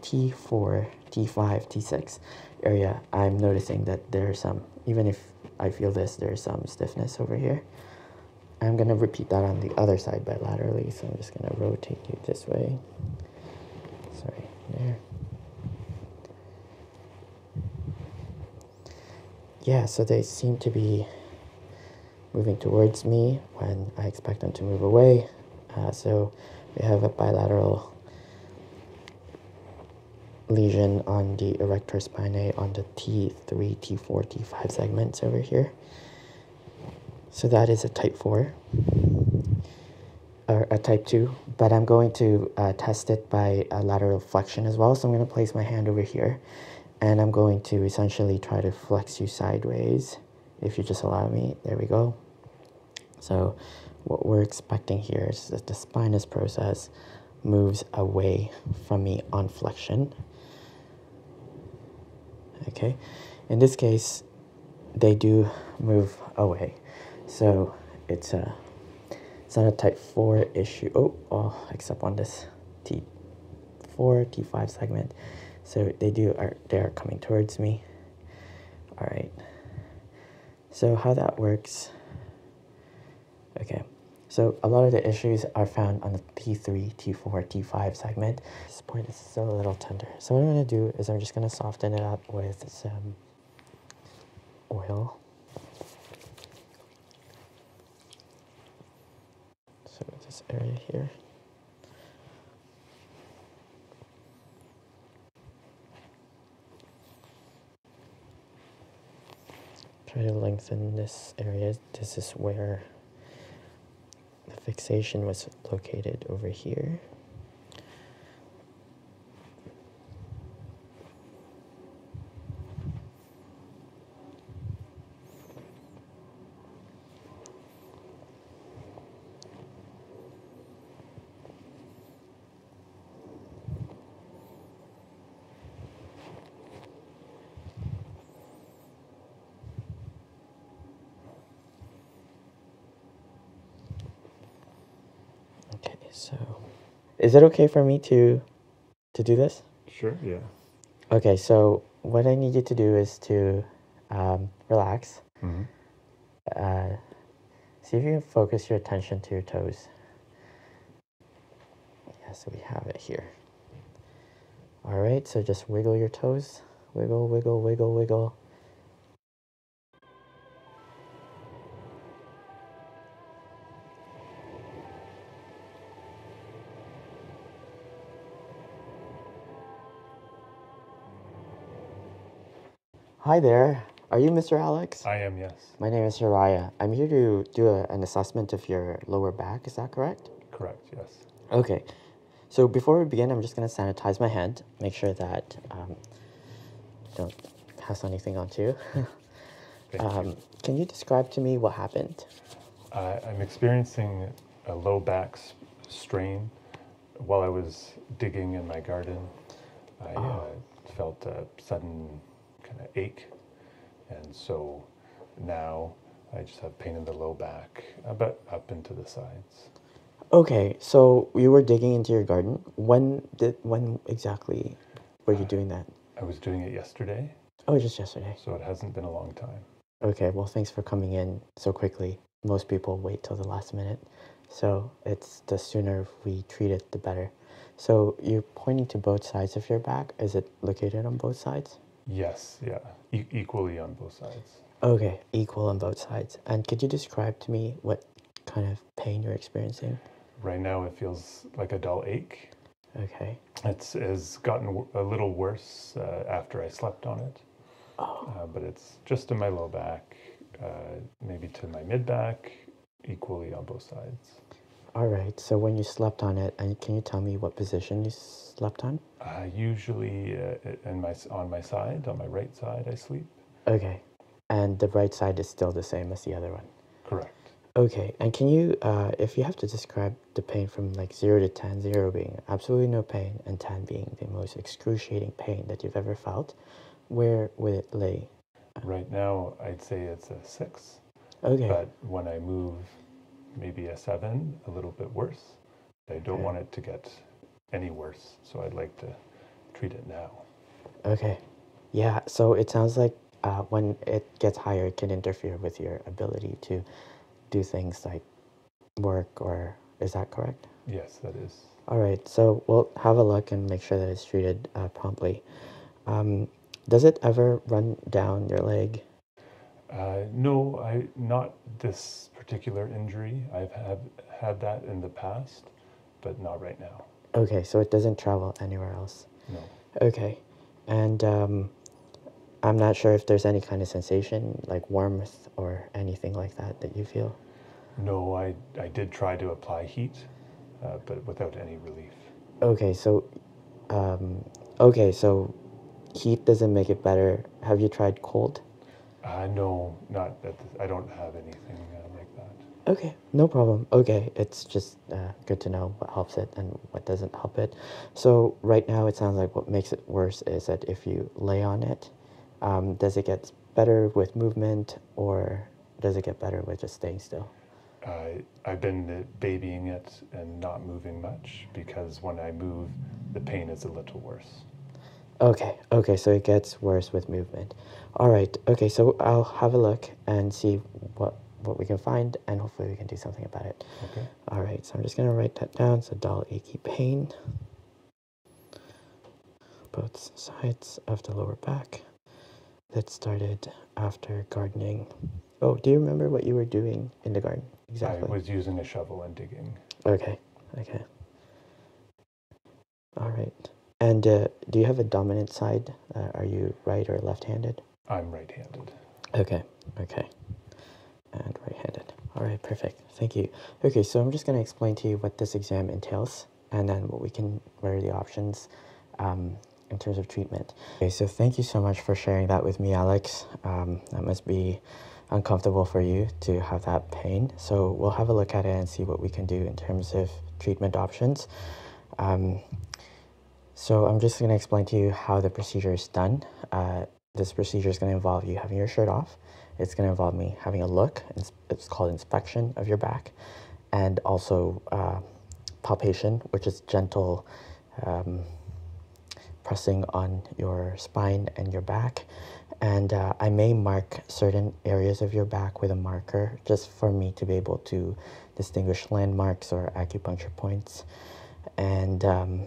T4, T5, T6 area, I'm noticing that there's some, even if I feel this, there's some stiffness over here. I'm going to repeat that on the other side bilaterally, so I'm just going to rotate you this way. Sorry, there. Yeah, so they seem to be moving towards me when I expect them to move away. Uh, so we have a bilateral lesion on the erector spinae on the T3, T4, T5 segments over here. So that is a type 4 or a type 2, but I'm going to uh, test it by a lateral flexion as well. So I'm going to place my hand over here and I'm going to essentially try to flex you sideways if you just allow me there we go so what we're expecting here is that the spinous process moves away from me on flexion okay in this case they do move away so it's a it's not a type 4 issue oh, oh except on this T4, T5 segment. So they do are they are coming towards me. All right. So how that works. Okay. So a lot of the issues are found on the T3, T4, T5 segment. This point is still a little tender. So what I'm gonna do is I'm just gonna soften it up with some oil. So this area here. Try to lengthen this area. This is where the fixation was located over here. Okay, so is it okay for me to to do this? Sure, yeah. Okay, so what I need you to do is to um, relax. mm see if you can focus your attention to your toes. Yes, we have it here. All right, so just wiggle your toes. Wiggle, wiggle, wiggle, wiggle. Hi there. Are you Mr. Alex? I am, yes. My name is Hiraya. I'm here to do an assessment of your lower back. Is that correct? Correct, yes. Okay. So before we begin, I'm just going to sanitize my hand, make sure that um, don't pass anything on to you. um, you. Can you describe to me what happened? I'm experiencing a low back strain while I was digging in my garden. I oh. uh, felt a sudden kind of ache, and so now I just have pain in the low back, uh, but up into the sides. Okay, so you were digging into your garden. When did when exactly were you uh, doing that? I was doing it yesterday. Oh, just yesterday. So it hasn't been a long time. Okay, well, thanks for coming in so quickly. Most people wait till the last minute. So it's the sooner we treat it, the better. So you're pointing to both sides of your back. Is it located on both sides? Yes, yeah, equally on both sides. Okay, equal on both sides. And could you describe to me what kind of pain you're experiencing? Right now, it feels like a dull ache. Okay it's has gotten a little worse uh, after I slept on it, oh. uh, but it's just in my low back, uh, maybe to my mid back, equally on both sides. All right. So when you slept on it, and can you tell me what position you slept on? usually, in my on my side, on my right side, I sleep. Okay, and the right side is still the same as the other one. Correct. Okay, and can you, if you have to describe the pain from like 0 to ten, zero being absolutely no pain, and 10 being the most excruciating pain that you've ever felt, where would it lay? Right now, I'd say it's a 6. Okay. But when I move, maybe a 7, a little bit worse. I don't want it to get any worse, so I'd like to treat it now. Okay. Yeah, so it sounds like uh, when it gets higher, it can interfere with your ability to do things like work, or is that correct? Yes, that is. All right, so we'll have a look and make sure that it's treated uh, promptly. Um, does it ever run down your leg? Uh, no, I not this particular injury. I've had had that in the past, but not right now. Okay, so it doesn't travel anywhere else. No. Okay, and um, I'm not sure if there's any kind of sensation, like warmth or anything like that, that you feel. No, I, I did try to apply heat, uh, but without any relief. Okay, so, um, okay, so heat doesn't make it better. Have you tried cold? Uh, no, not. That I don't have anything uh, like that. Okay, no problem. Okay, it's just uh, good to know what helps it and what doesn't help it. So right now it sounds like what makes it worse is that if you lay on it, um, does it get better with movement or does it get better with just staying still? Uh, I've been babying it and not moving much because when I move, the pain is a little worse. Okay, okay, so it gets worse with movement. All right, okay, so I'll have a look and see what, what we can find and hopefully we can do something about it. Okay. All right, so I'm just gonna write that down. So dull, achy pain. Both sides of the lower back that started after gardening. Oh, do you remember what you were doing in the garden? Exactly. I was using a shovel and digging. Okay, okay. All right. And uh, do you have a dominant side? Uh, are you right or left handed? I'm right handed. Okay, okay and right-handed. Alright, perfect. Thank you. Okay, so I'm just going to explain to you what this exam entails and then what we can, what are the options um, in terms of treatment. Okay, so thank you so much for sharing that with me, Alex. Um, that must be uncomfortable for you to have that pain. So we'll have a look at it and see what we can do in terms of treatment options. Um, so I'm just going to explain to you how the procedure is done. Uh, this procedure is going to involve you having your shirt off. It's going to involve me having a look. It's, it's called inspection of your back, and also uh, palpation, which is gentle um, pressing on your spine and your back. And uh, I may mark certain areas of your back with a marker just for me to be able to distinguish landmarks or acupuncture points. And um,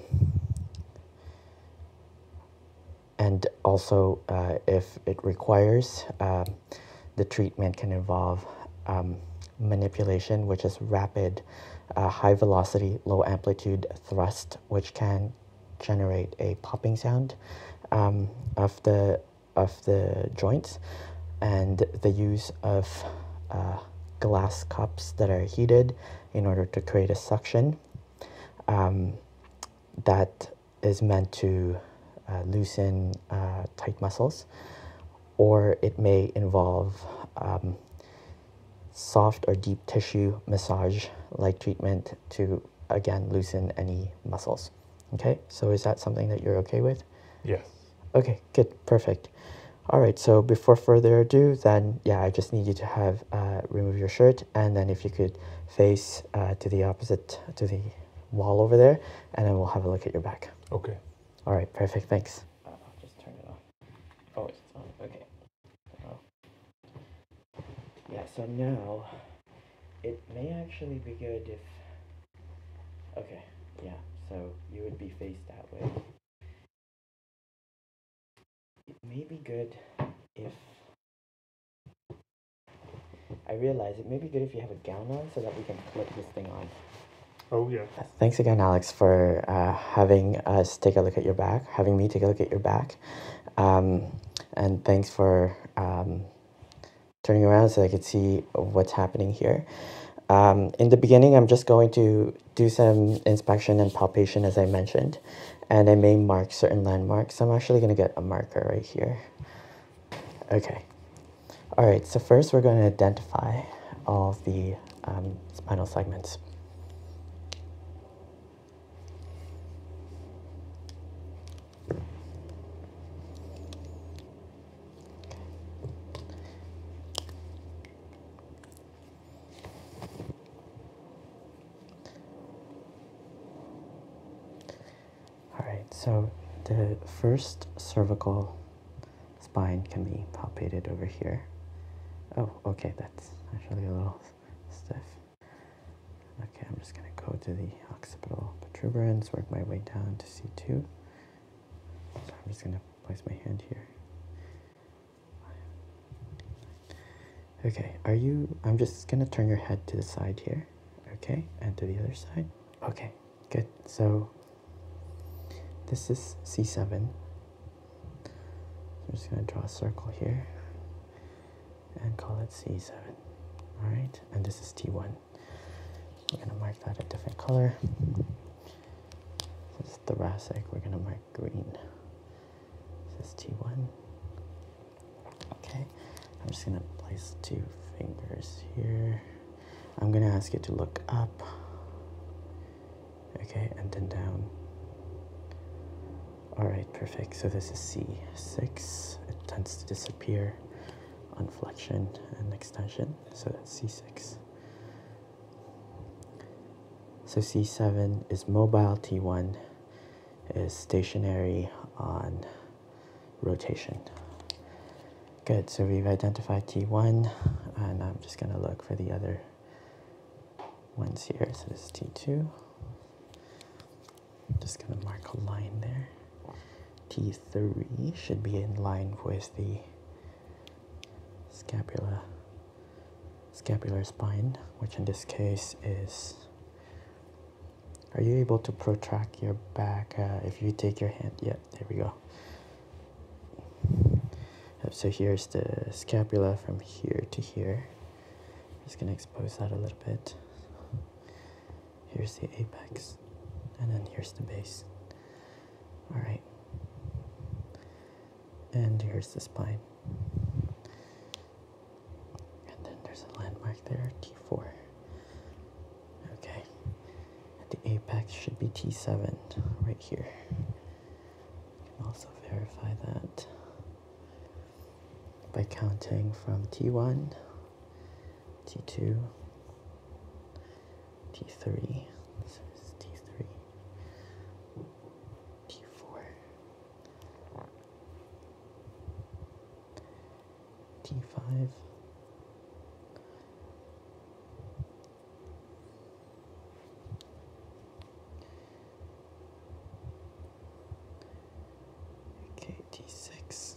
and also, uh, if it requires, uh, the treatment can involve um, manipulation, which is rapid, uh, high velocity, low amplitude thrust, which can generate a popping sound um, of the of the joints, and the use of uh, glass cups that are heated in order to create a suction um, that is meant to uh, loosen uh, tight muscles, or it may involve um, soft or deep tissue massage like treatment to again loosen any muscles. Okay, so is that something that you're okay with? Yes. Okay, good, perfect. All right, so before further ado, then yeah, I just need you to have uh, remove your shirt and then if you could face uh, to the opposite to the wall over there and then we'll have a look at your back okay all right perfect thanks uh, just turn it off oh it's on okay oh. yeah so now it may actually be good if okay yeah so you would be faced that way it may be good if I realize it may be good if you have a gown on so that we can clip this thing on. Oh yeah. Uh, thanks again, Alex, for uh, having us take a look at your back, having me take a look at your back, um, and thanks for um, turning around so I could see what's happening here. Um, in the beginning, I'm just going to do some inspection and palpation as I mentioned, and I may mark certain landmarks. I'm actually gonna get a marker right here. Okay. All right, so first we're gonna identify all the um, spinal segments. All right, so the first cervical spine can be palpated over here. Oh, okay, that's actually a little stiff. Okay, I'm just gonna go to the occipital protuberance, work my way down to C2. I'm just gonna place my hand here. Okay, are you, I'm just gonna turn your head to the side here, okay, and to the other side. Okay, good. So this is C7. I'm just gonna draw a circle here and call it C7. All right, and this is T1. We're gonna mark that a different color. This is thoracic, we're gonna mark green. Is this T1? Okay, I'm just gonna place two fingers here. I'm gonna ask you to look up, okay, and then down. All right, perfect. So this is C6. It tends to disappear on flexion and extension. So that's C6. So C7 is mobile T1 is stationary on rotation. Good, so we've identified T1, and I'm just gonna look for the other ones here. So this is T2. I'm just gonna mark a line there. T3 should be in line with the scapula scapular spine, which in this case is are you able to protract your back uh, if you take your hand? Yeah, there we go. Uh, so here's the scapula from here to here. just gonna expose that a little bit. Here's the apex, and then here's the base. All right and here's the spine. And then there's a landmark there, T4. Okay, the apex should be T7 right here. You can also verify that by counting from T1, T2, T3, T3, T4, T5. Okay, T6.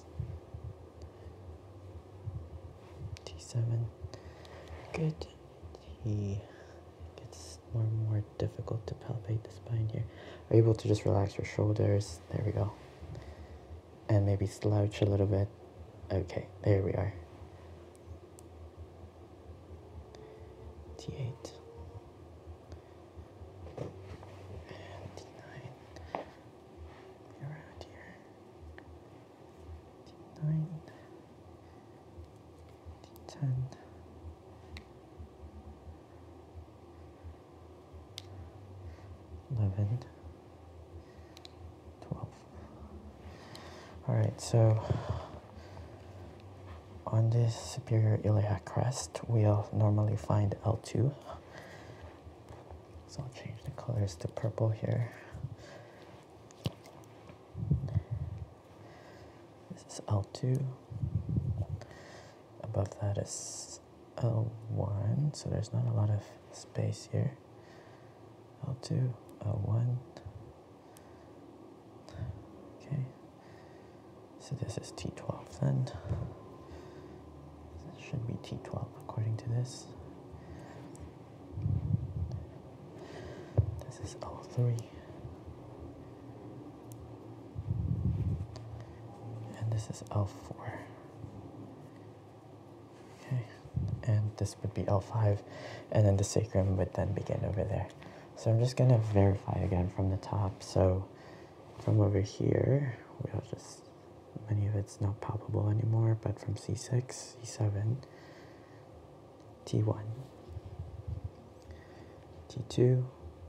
T7. Good. T it's more and more difficult to palpate the spine here. Are you able to just relax your shoulders? There we go. And maybe slouch a little bit. Okay, there we are. 8 9 Around here. 9 10 11, All right, so on this superior iliac crest, we'll normally find L2. So I'll change the colors to purple here. This is L2. Above that is L1, so there's not a lot of space here. L2, L1. Okay, so this is T12 then. This should be T12 according to this. This is L3 and this is L4. Okay, and this would be L5, and then the sacrum would then begin over there. So I'm just gonna verify again from the top. So from over here, we'll just, many of it's not palpable anymore, but from C6, C7, T1, T2,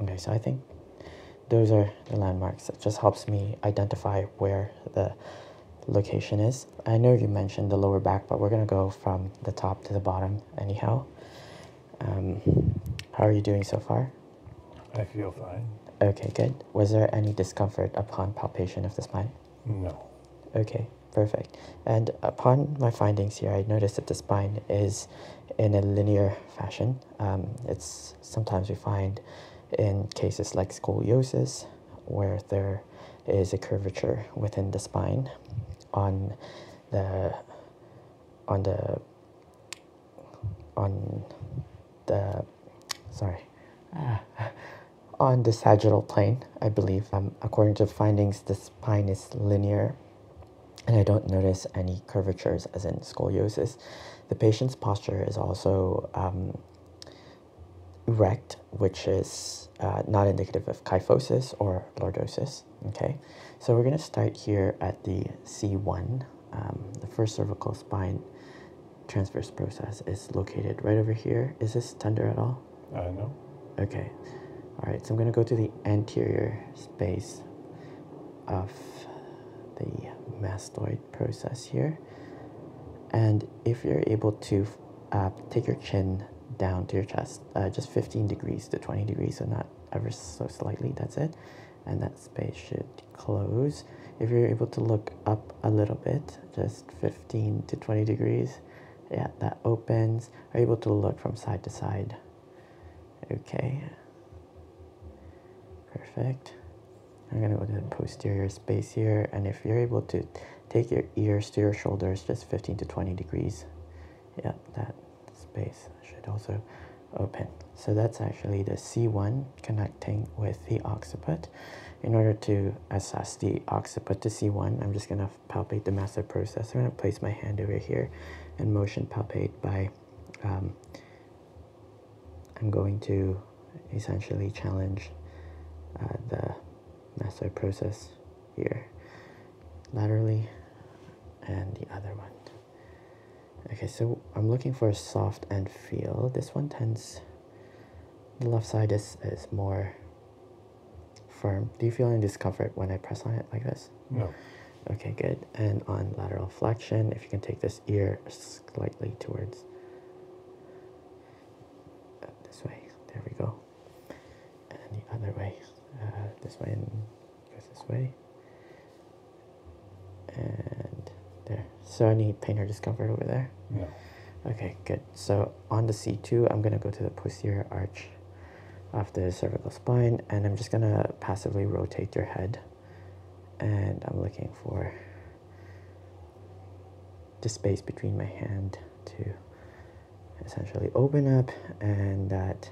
Okay, so I think those are the landmarks. It just helps me identify where the location is. I know you mentioned the lower back, but we're gonna go from the top to the bottom anyhow. Um, how are you doing so far? I feel fine. Okay, good. Was there any discomfort upon palpation of the spine? No. Okay, perfect. And upon my findings here, I noticed that the spine is in a linear fashion. Um, it's sometimes we find in cases like scoliosis, where there is a curvature within the spine on the on the on the sorry ah. on the sagittal plane i believe um, according to findings the spine is linear and I don't notice any curvatures as in scoliosis. The patient's posture is also um, erect, which is uh, not indicative of kyphosis or lordosis. Okay, so we're going to start here at the C1. Um, the first cervical spine transverse process is located right over here. Is this tender at all? Uh, no. Okay. All right, so I'm going to go to the anterior space of the mastoid process here. And if you're able to uh, take your chin down to your chest, uh, just 15 degrees to 20 degrees, so not ever so slightly, that's it. And that space should close. If you're able to look up a little bit, just 15 to 20 degrees, yeah, that opens. Are able to look from side to side Okay. Perfect. I'm gonna go to the posterior space here. And if you're able to take your ears to your shoulders just 15 to 20 degrees, yeah, that space should also open. So that's actually the C1 connecting with the occiput. In order to assess the occiput to C1, I'm just going to palpate the massive processor and I place my hand over here and motion palpate by um, I'm going to essentially challenge uh, the mastoid process here laterally and the other one. Okay, so I'm looking for a soft and feel. This one tends, the left side is, is more firm. Do you feel any discomfort when I press on it like this? No. Okay, good. And on lateral flexion, if you can take this ear slightly towards uh, this way. There we go. And the other way. Uh, this way and goes this way. And there. So any pain or discomfort over there? No. Okay, good. So on the C2, I'm going to go to the posterior arch of the cervical spine and I'm just going to passively rotate your head and I'm looking for the space between my hand to essentially open up and that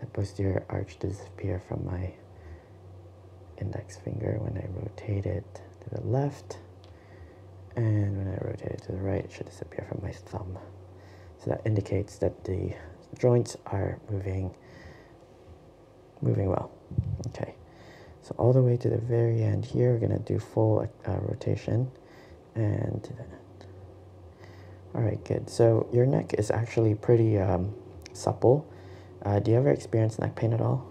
the posterior arch disappear from my index finger when I rotate it to the left and when I rotate it to the right, it should disappear from my thumb. So that indicates that the joints are moving, moving well. Okay, so all the way to the very end here, we're gonna do full uh, rotation and all right, good. So your neck is actually pretty um, supple. Uh, do you ever experience neck pain at all?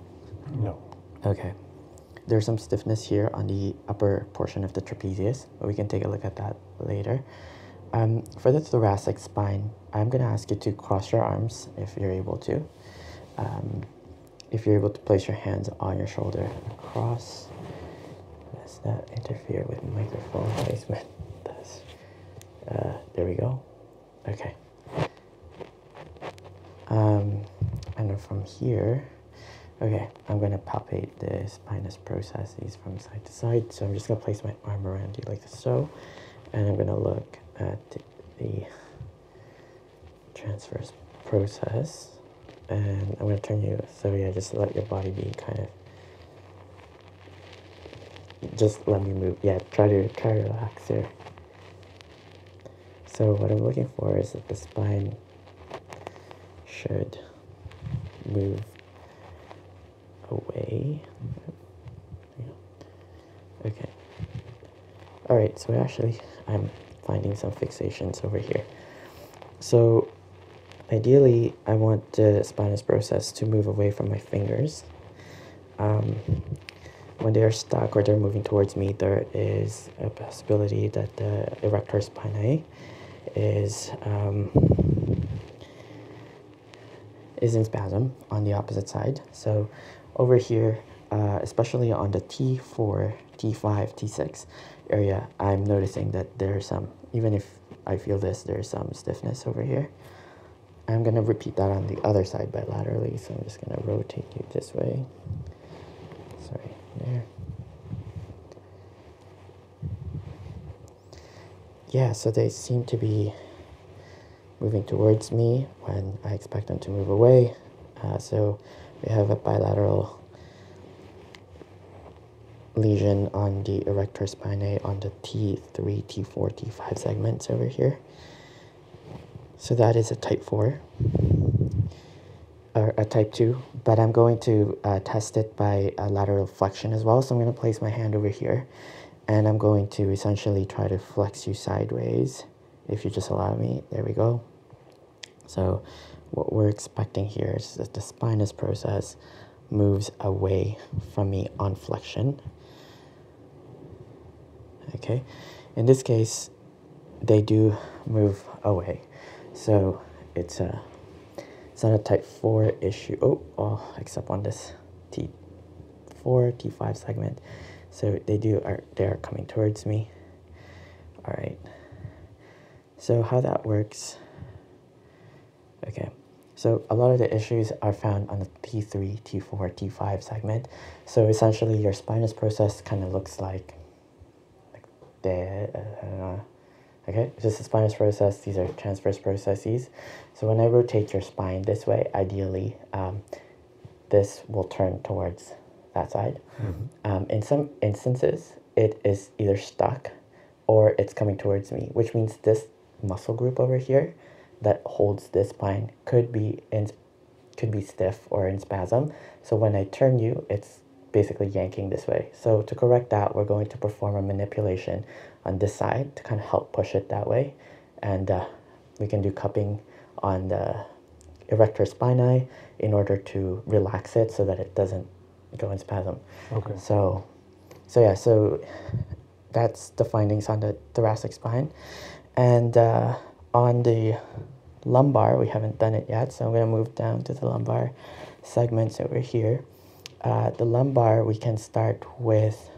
No. Okay. There's some stiffness here on the upper portion of the trapezius, but we can take a look at that later. Um, for the thoracic spine, I'm going to ask you to cross your arms if you're able to. Um, if you're able to place your hands on your shoulder, cross. Let's not interfere with microphone placement. That's, uh, there we go. Okay. Um, and then from here, Okay, I'm gonna palpate the spinous processes from side to side. So I'm just gonna place my arm around you like so, and I'm gonna look at the transverse process. And I'm gonna turn you, so yeah, just let your body be kind of, just let me move. Yeah, try to, try to relax here. So what I'm looking for is that the spine should move away. Okay. Alright, so actually, I'm finding some fixations over here. So, ideally, I want the spinous process to move away from my fingers. Um, when they are stuck or they're moving towards me, there is a possibility that the erector spinae is um, is in spasm on the opposite side. So over here, uh, especially on the T4, T5, T6 area, I'm noticing that there's some, even if I feel this, there's some stiffness over here. I'm going to repeat that on the other side bilaterally, so I'm just going to rotate you this way. Sorry, there yeah, so they seem to be moving towards me when I expect them to move away. Uh, so we have a bilateral lesion on the erector spinae on the T3, T4, T5 segments over here. So that is a type 4 or a type 2, but I'm going to uh, test it by a uh, lateral flexion as well. So I'm going to place my hand over here and I'm going to essentially try to flex you sideways if you just allow me. There we go. So what we're expecting here is that the spinous process moves away from me on flexion. Okay, in this case, they do move away. So it's a uh, it's not a type 4 issue. Oh, oh except on this T4, T5 segment. So they do are they are coming towards me. All right. So how that works. Okay. So a lot of the issues are found on the T3, T4, T5 segment. So essentially your spinous process kind of looks like like that. Uh, okay, this is spinous process. These are transverse processes. So when I rotate your spine this way, ideally, um, this will turn towards that side. Mm-hmm. Um, in some instances, it is either stuck or it's coming towards me, which means this muscle group over here that holds this spine could be in could be stiff or in spasm. So when I turn you, it's basically yanking this way. So to correct that, we're going to perform a manipulation on this side to kind of help push it that way. And uh, we can do cupping on the erector spinae in order to relax it so that it doesn't go in spasm. Okay. So, so yeah, so that's the findings on the thoracic spine. And uh, on the lumbar, we haven't done it yet, so I'm going to move down to the lumbar segments over here. Uh, the lumbar, we can start with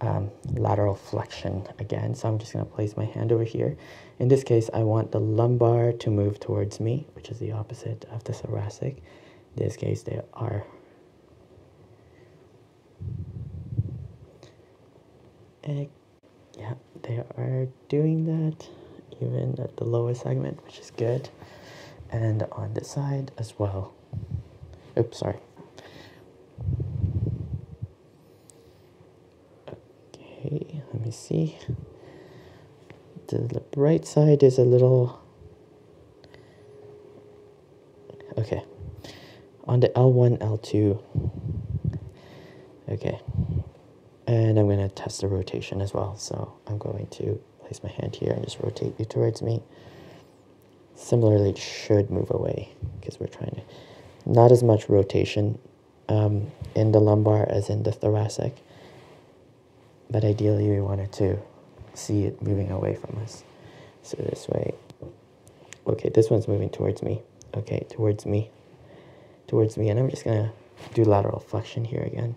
um, lateral flexion again. So I'm just going to place my hand over here. In this case, I want the lumbar to move towards me, which is the opposite of the thoracic. In this case, they are. Yeah, they are doing that even at the lower segment, which is good. And on this side as well. Oops, sorry. Okay, let me see. The right side is a little... Okay. On the L1, L2. Okay. And I'm going to test the rotation as well. So I'm going to place my hand here and just rotate you towards me. Similarly, it should move away because we're trying to, not as much rotation um, in the lumbar as in the thoracic, but ideally we wanted to see it moving away from us. So this way, okay, this one's moving towards me, okay, towards me, towards me, and I'm just gonna do lateral flexion here again.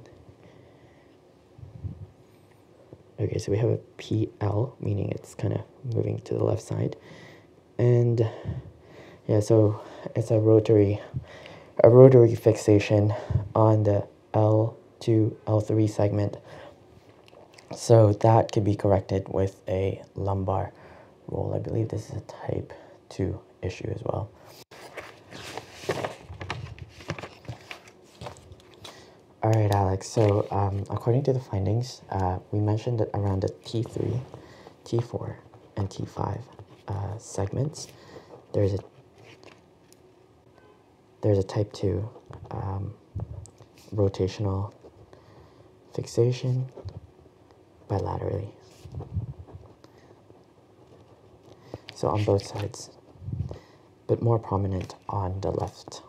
Okay, so we have a PL, meaning it's kind of moving to the left side. And yeah, so it's a rotary, a rotary fixation on the L2, L3 segment. So that could be corrected with a lumbar roll. I believe this is a type 2 issue as well. All right, Alex. So um, according to the findings, uh, we mentioned that around the T3, T4, and T5 uh, segments, there's a there's a type 2 um, rotational fixation bilaterally. So on both sides, but more prominent on the left.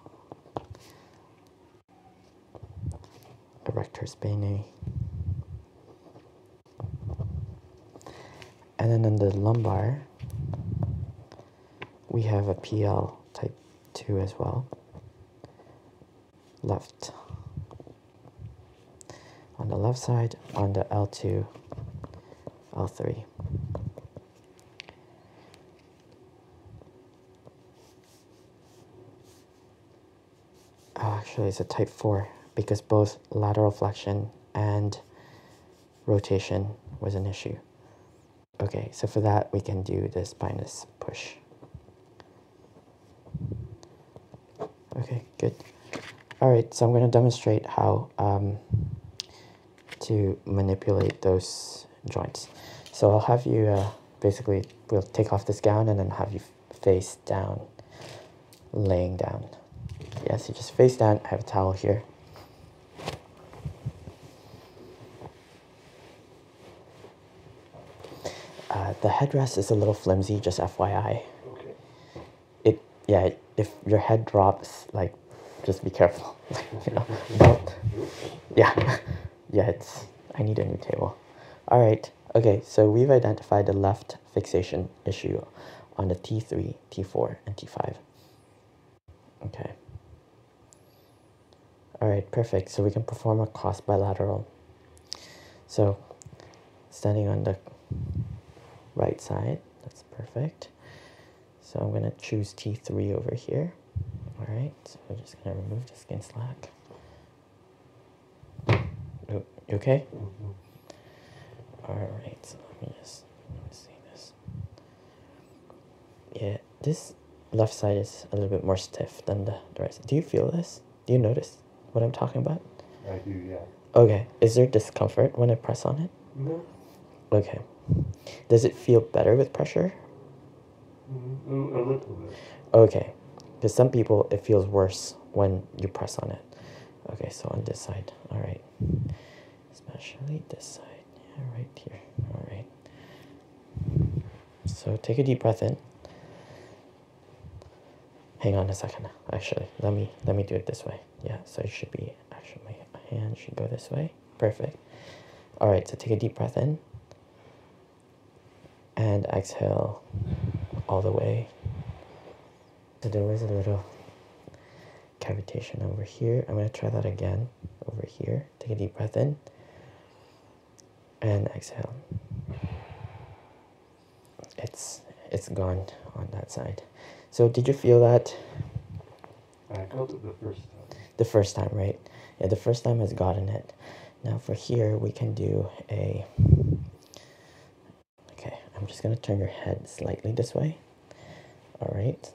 Erector spinae. And then on the lumbar, we have a PL type 2 as well. Left. On the left side, on the L2, all three. Oh, actually, it's a type 4 because both lateral flexion and rotation was an issue. Okay, so for that, we can do the spinous push. Okay, Good. All right, so I'm going to demonstrate how um, to manipulate those joints. So I'll have you uh, basically, we'll take off this gown and then have you face down, laying down. Yes, you just face down. I have a towel here. Uh, the headrest is a little flimsy, just FYI. Okay it yeah if your head drops like just be careful you know do yeah yeah it's i need a new table all right okay so we've identified the left fixation issue on the t3 t4 and t5 okay all right perfect so we can perform a cross bilateral so standing on the right side that's perfect. So I'm gonna choose T3 over here. All right, so we're just gonna remove the skin slack. Oh, you okay? All right, so let me just see this. Yeah, this left side is a little bit more stiff than the, the right side. Do you feel this? Do you notice what I'm talking about? I do, yeah. Okay. Is there discomfort when I press on it? No. Okay. Does it feel better with pressure? Mm, mm a little bit. Okay. Because some people, it feels worse when you press on it. Okay, so on this side. All right. Especially this side. Yeah, right here. All right. So take a deep breath in. Hang on a second. Actually, let me let me do it this way yeah, so it should be, actually my hand should go this way. Perfect. All right, so take a deep breath in. And exhale all the way. So there was a little cavitation over here. I'm gonna try that again over here. Take a deep breath in. And exhale. It's, it's gone on that side. So did you feel that? the first time. right? Yeah, the first time has gotten it. Now for here, we can do a... Okay, I'm just going to turn your head slightly this way. All right.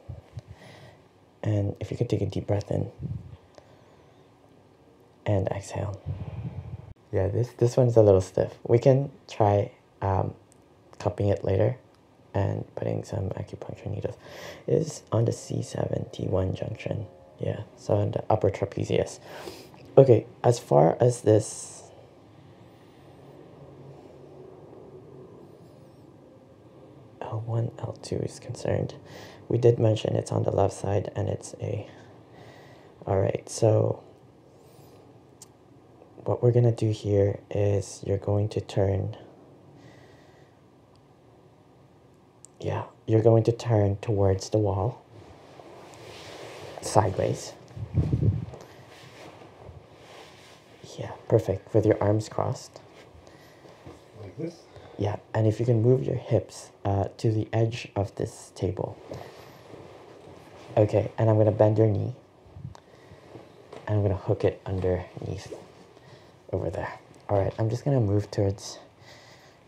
And if you could take a deep breath in and exhale. Yeah, this, this one's a little stiff. We can try um, cupping it later and putting some acupuncture needles. is on the C7T1 junction. Yeah, so on the upper trapezius. Okay, as far as this L1, L2 is concerned, we did mention it's on the left side and it's a. Alright, so what we're going to do here is you're going to turn yeah you're going to turn towards the wall sideways yeah perfect with your arms crossed like this yeah and if you can move your hips uh, to the edge of this table okay and I'm gonna bend your knee I'm gonna hook it underneath over there. All right, I'm just gonna move towards,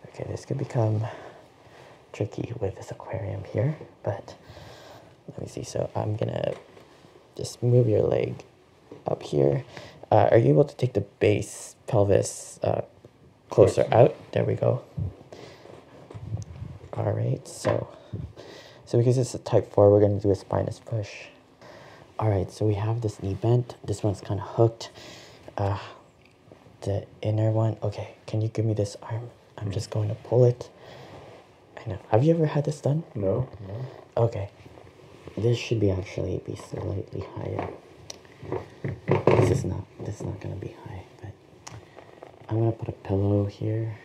okay, this could become tricky with this aquarium here, but let me see. So I'm gonna just move your leg up here. Uh, are you able to take the base pelvis uh, closer out? There we go. All right, so so because it's a type 4, we're going to do a spinous push. All right, so we have this knee bent. This one's kind of hooked. Uh, the inner one. Okay, can you give me this arm? I'm just going to pull it. I know. Have you ever had this done? No. no. Okay. This should be actually be slightly higher. This is not. This is not gonna be high, but I'm gonna put a pillow here.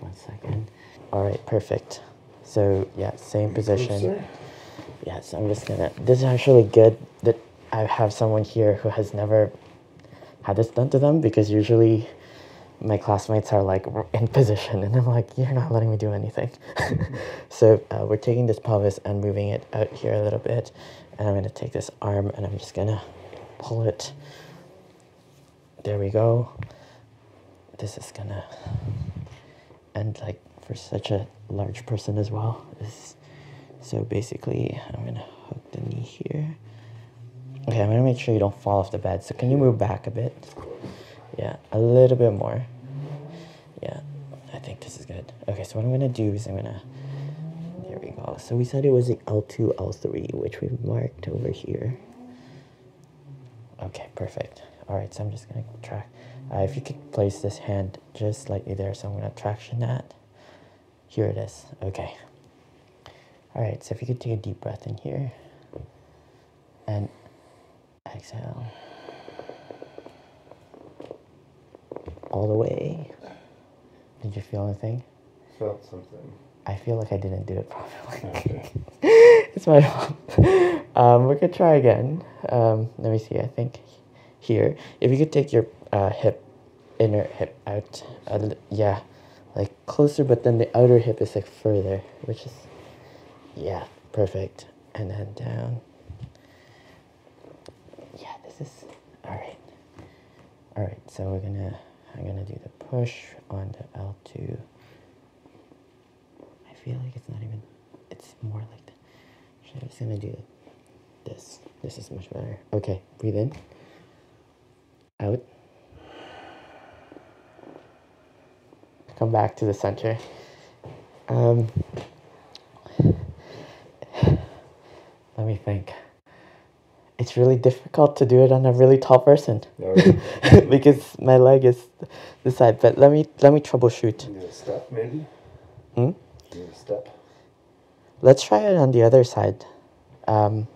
One second. All right, perfect. So yeah, same position. Yes, I'm just gonna, this is actually good that I have someone here who has never had this done to them because usually my classmates are like in position and I'm like, you're not letting me do anything. so uh, we're taking this pelvis and moving it out here a little bit. And I'm gonna take this arm and I'm just gonna pull it there we go. This is gonna end like for such a large person as well. This, so basically, I'm gonna hook the knee here. Okay, I'm gonna make sure you don't fall off the bed. So can you move back a bit? Yeah, a little bit more. Yeah, I think this is good. Okay, so what I'm gonna do is I'm gonna, there we go. So we said it was the L2, L3, which we've marked over here. Okay, perfect. Alright, so I'm just gonna track. Uh, if you could place this hand just slightly there, so I'm gonna traction that. Here it is, okay. Alright, so if you could take a deep breath in here. And exhale. All the way. Did you feel anything? Felt something. I feel like I didn't do it properly. it's my fault. Um, we could try again. Um, let me see. I think here, if you could take your uh, hip, inner hip out, uh, yeah, like closer, but then the outer hip is like further, which is, yeah, perfect. And then down. Yeah, this is all right. All right, so we're gonna, I'm gonna do the push on the L two. I feel like it's not even, it's more like that. I'm just gonna do this. This is much better. Okay, breathe in, out. Come back to the center. Um, let me think. It's really difficult to do it on a really tall person oh, because my leg is this side, but let me let me troubleshoot. Hmm. step. Let's try it on the other side, um,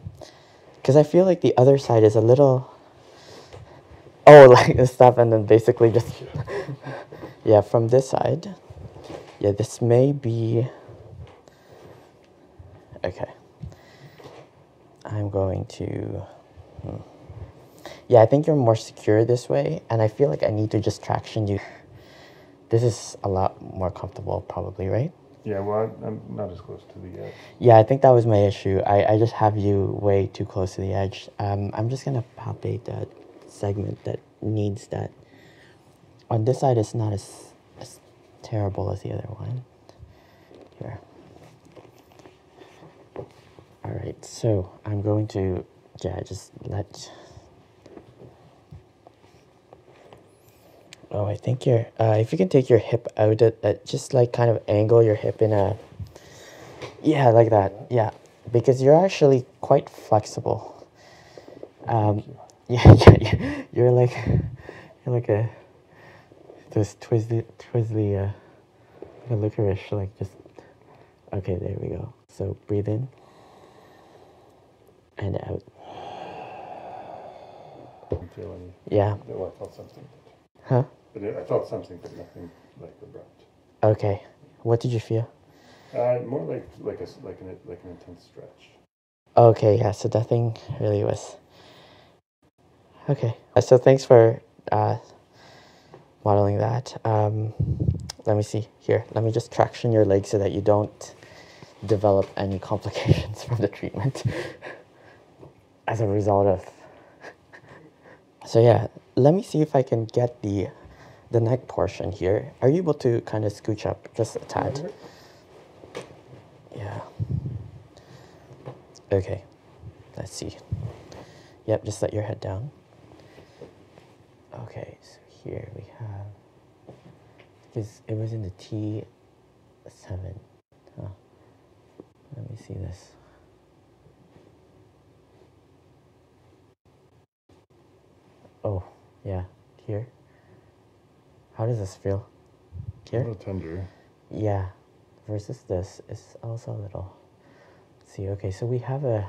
because I feel like the other side is a little. Oh, like the step, and then basically just. yeah, from this side. Yeah, this may be. Okay. I'm going to. Hmm. Yeah, I think you're more secure this way, and I feel like I need to just traction you. This is a lot more comfortable, probably, right? Yeah, well, I'm not as close to the edge. Yeah, I think that was my issue. I, I just have you way too close to the edge. Um, I'm just going to palpate that segment that needs that. On this side, it's not as, as terrible as the other one. Here. All right, so I'm going to, yeah, just let. Oh, I think your, uh, if you can take your hip out, at, just like kind of angle your hip in a, yeah, like that, yeah, because you're actually quite flexible. Um, yeah, yeah, yeah, you're like, you're like a, this twizzly, twizzly, uh, the licorice, like just. Okay, there we go. So breathe in and out. Yeah. I felt something. Huh? But nothing like abrupt. Okay. What did you feel? Uh, more like like a like an like an intense stretch. Okay, yeah. So nothing really was Okay. Uh, so thanks for uh, modeling that. Um, let me see here. Let me just traction your leg so that you don't develop any complications from the treatment as a result of. so yeah, let me see if I can get the the neck portion here. Are you able to kind of scooch up just a tad? Mm-hmm. Yeah. Okay. Let's see. Yep, just let your head down. Okay, so here we have because it was in the T seven. Let me see this. Oh, yeah, here. How does this feel? A little tender yeah versus this is also a little see okay so we have a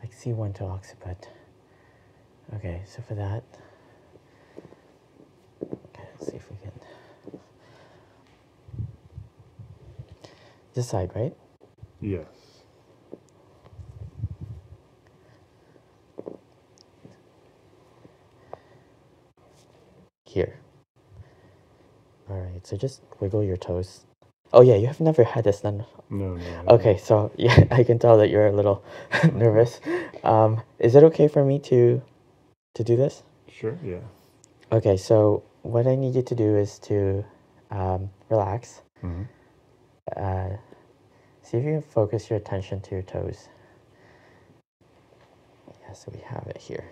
like c1 to occiput okay so for that okay let's see if we can this side right yes here. Alright, so just wiggle your toes. Oh yeah, you have never had this done. No, no, Okay, so yeah, I can tell that you're a little nervous. Um, is it okay for me to to do this? Sure, yeah. Okay, so what I need you to do is to um, relax. Mm-hmm. Uh, see if you can focus your attention to your toes. Yes, we have it here.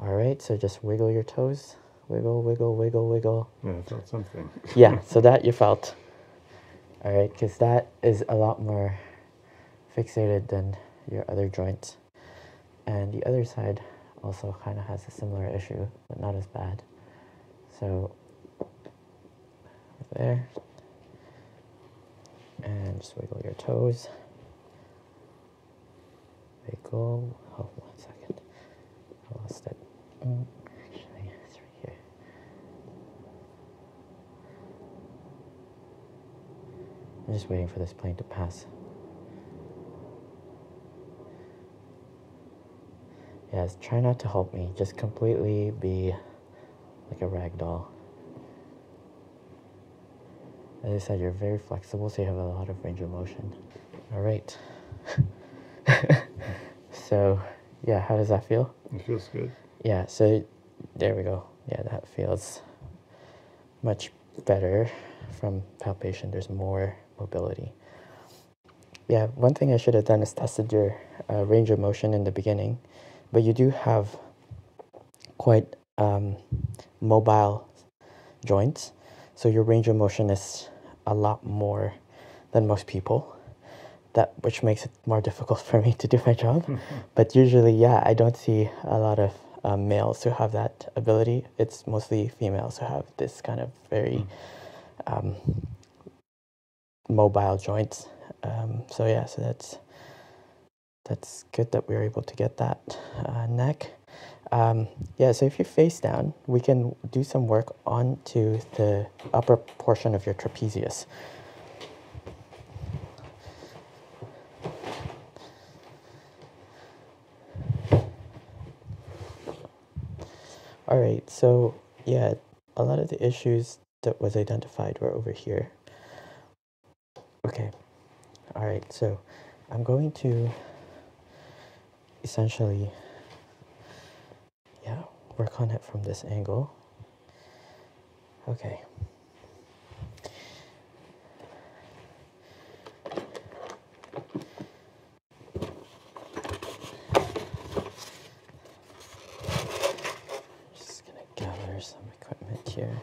All right, so just wiggle your toes. Wiggle, wiggle, wiggle, wiggle. Yeah, felt something. yeah, so that you felt. All right, because that is a lot more fixated than your other joints, And the other side also kind of has a similar issue, but not as bad. So, there. And just wiggle your toes. They go. Oh, one second. I lost it. Mm, actually, it's right here. I'm just waiting for this plane to pass. Yes, try not to help me. Just completely be like a rag doll. As I said, you're very flexible, so you have a lot of range of motion. All right. so, yeah, how does that feel? It feels good. Yeah, so there we go. Yeah, that feels much better from palpation. There's more mobility. Yeah, one thing I should have done is tested your uh, range of motion in the beginning, but you do have quite um, mobile joints. So your range of motion is a lot more than most people. That which makes it more difficult for me to do my job. but usually, yeah, I don't see a lot of um, males who have that ability. It's mostly females who have this kind of very hmm. um, mobile joints. Um, so yeah, so that's that's good that we are able to get that uh, neck. Um, yeah, so if you face down, we can do some work onto the upper portion of your trapezius. All right, so yeah, a lot of the issues that was identified were over here. Okay, alright, so I'm going to essentially, yeah, work on it from this angle. Okay. Just gonna gather some equipment here.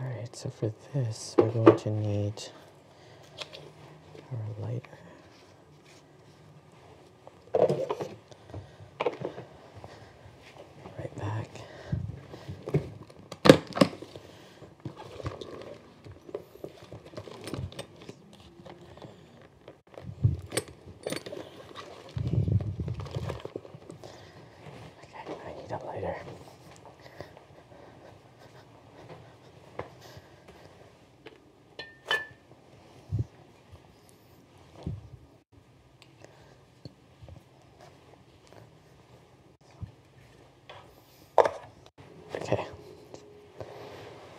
Alright, so for this, we're going to need our lighter. Right back. Okay, I need a lighter. Okay.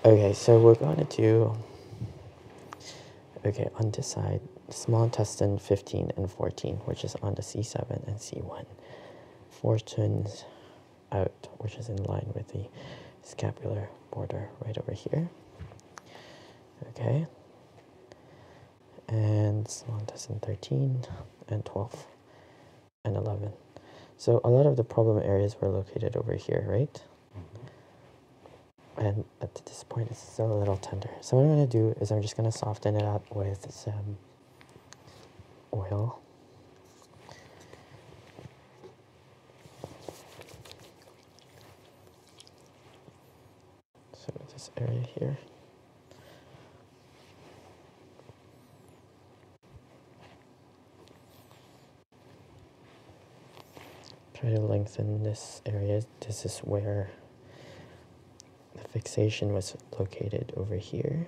Okay, so we're going to do, okay, on this side, small intestine 15 and 14, which is on the C7 and C1. four turns out, which is in line with the scapular border right over here. Okay. And in 13 and 12 and 11. So a lot of the problem areas were located over here, right? Mm-hmm. And at this point, it's still a little tender. So what I'm going to do is I'm just going to soften it up with some oil. So this area here. Try to lengthen this area. This is where the fixation was located over here.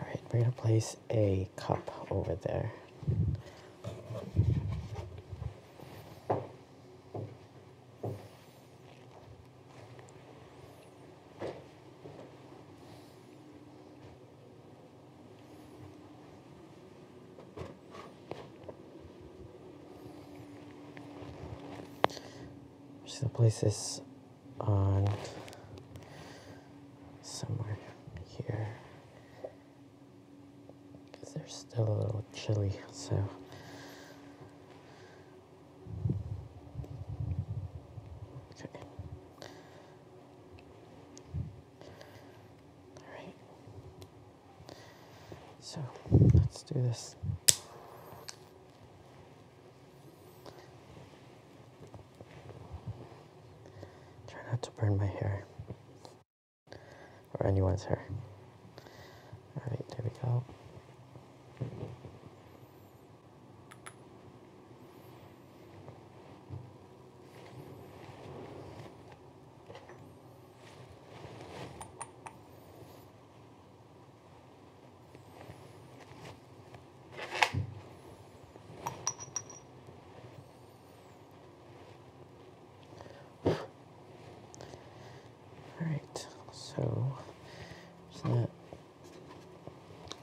Alright, we're going to place a cup over there. I'm just gonna place this on somewhere here because they're still a little chilly so okay all right so let's do this. Try not to burn my hair or anyone's hair. All right, there we go. Alright, so let's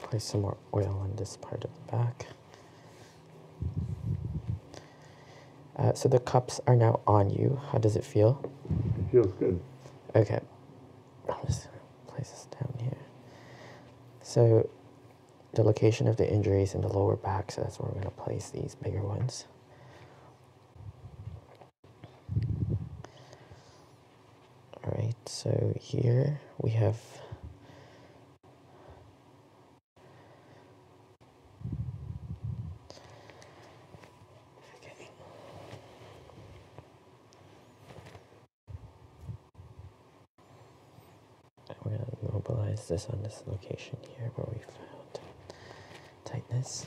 place some more oil on this part of the back. Uh, so the cups are now on you. How does it feel? It feels good. Okay. I'm just going to place this down here. So the location of the injuries in the lower back, so that's where we're going to place these bigger ones. Alright, so here we have we're going to mobilize this on this location here where we found tightness.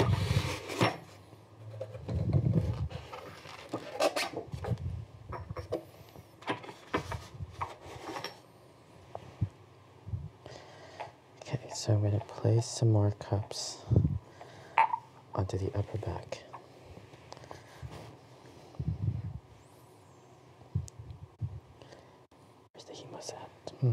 Okay, so I'm going to place some more cups onto the upper back. Where's the humus at? Hmm.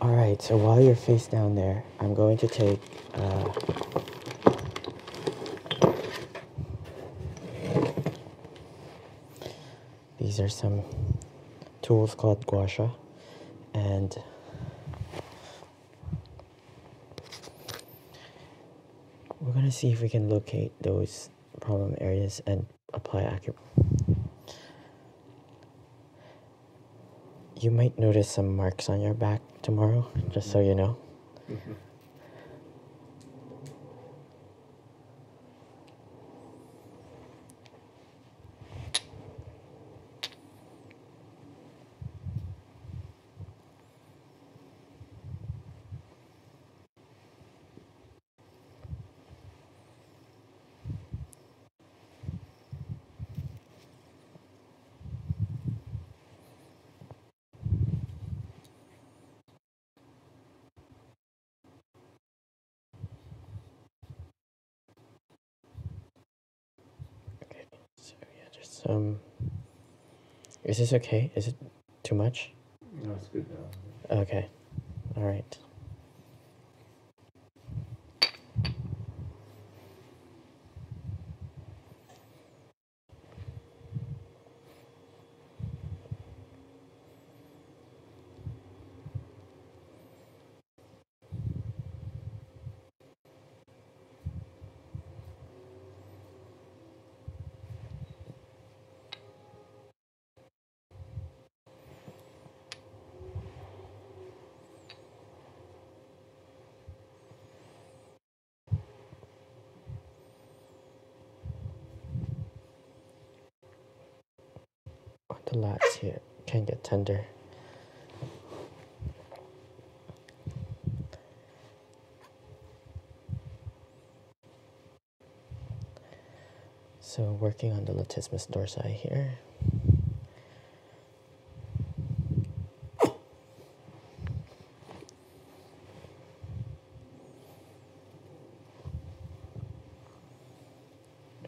Alright, so while you're face down there, I'm going to take, uh, these are some tools called guasha, and we're going to see if we can locate those problem areas and apply accurate. You might notice some marks on your back tomorrow, just so you know. Okay, so yeah, just um, is this okay? Is it too much? Okay. All right. The lats here can get tender. So working on the latissimus dorsi here.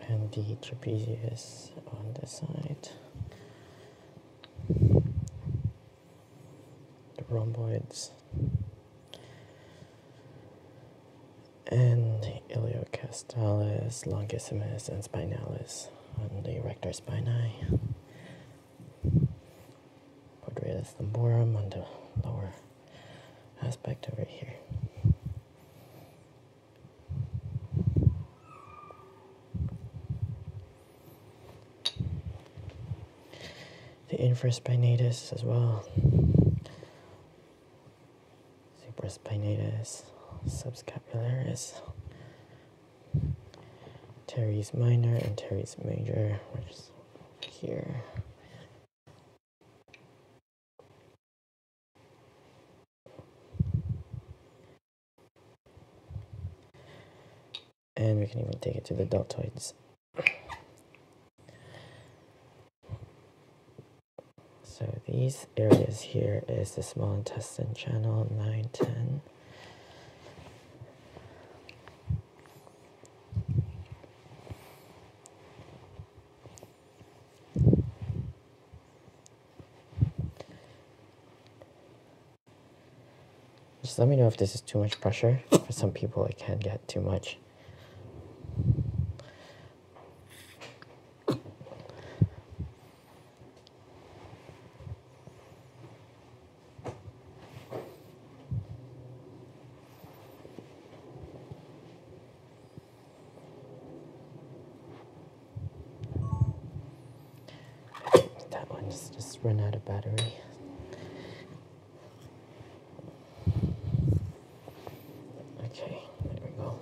And the trapezius on the side. The rhomboids and iliocastalis, longissimus, and spinalis on the rectus spinae. Quadratus lumborum on the lower aspect over here. The inverse spinatus as well supraspinatus, subscapularis, teres minor and teres major, which is here. And we can even take it to the deltoids so these areas here is the small intestine channel nine ten. Just let me know if this is too much pressure. For some people it can get too much that one's just run out of battery. Okay, there we go.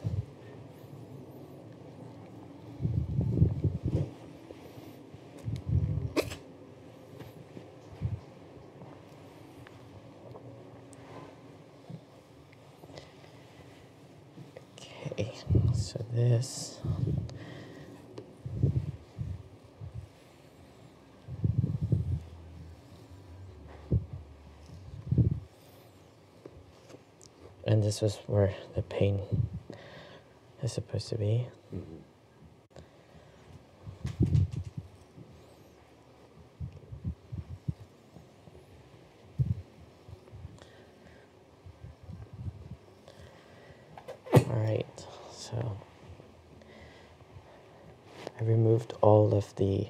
Okay, so this and this was where the pain is supposed to be. right, so I removed all of the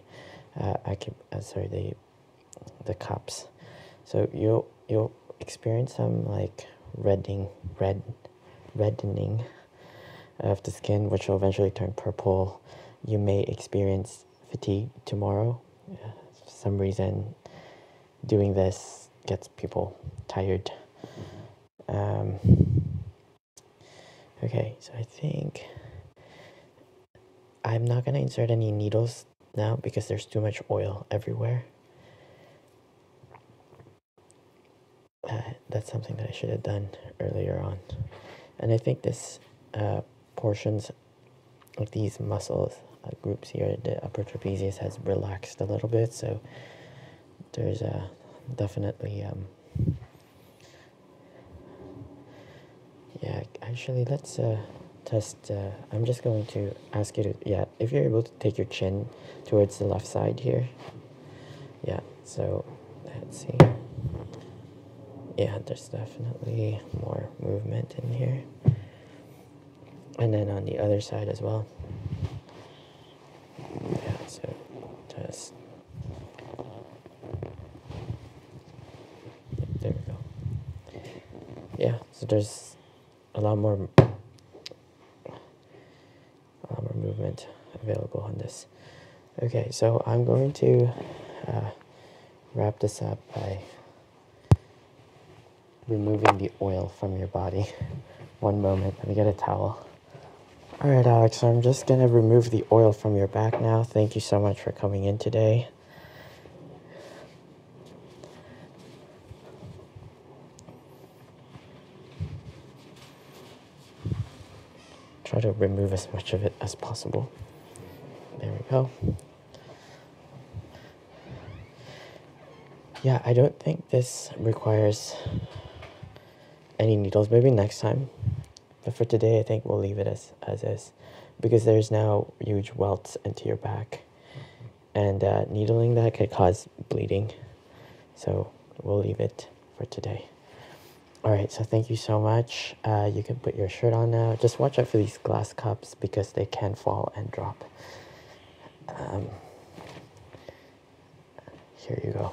uh, uh, sorry the the cups so you'll you experience some like reddening red reddening of the skin which will eventually turn purple you may experience fatigue tomorrow some reason doing this gets people tired um, Okay, so I think I'm not going to insert any needles now because there's too much oil everywhere. Uh, that's something that I should have done earlier on. And I think this uh, portions of these muscles uh, groups here, the upper trapezius has relaxed a little bit, so there's a uh, definitely um, yeah, actually, let's uh, test. Uh, I'm just going to ask you to, yeah, if you're able to take your chin towards the left side here. Yeah, so let's see. Yeah, there's definitely more movement in here. And then on the other side as well. Yeah, so just there we go. Yeah, so there's a lot more, a lot more movement available on this. Okay, so I'm going to uh, wrap this up by removing the oil from your body. One moment, let me get a towel. Alright Alex, I'm just going to remove the oil from your back now. Thank you so much for coming in today. Try to remove as much of it as possible. There we go. Yeah, I don't think this requires any needles. Maybe next time but for today, I think we'll leave it as, as is because there's now huge welts into your back. And uh, needling that could cause bleeding. So we'll leave it for today. All right, so thank you so much. Uh, you can put your shirt on now. Just watch out for these glass cups because they can fall and drop. Um, here you go.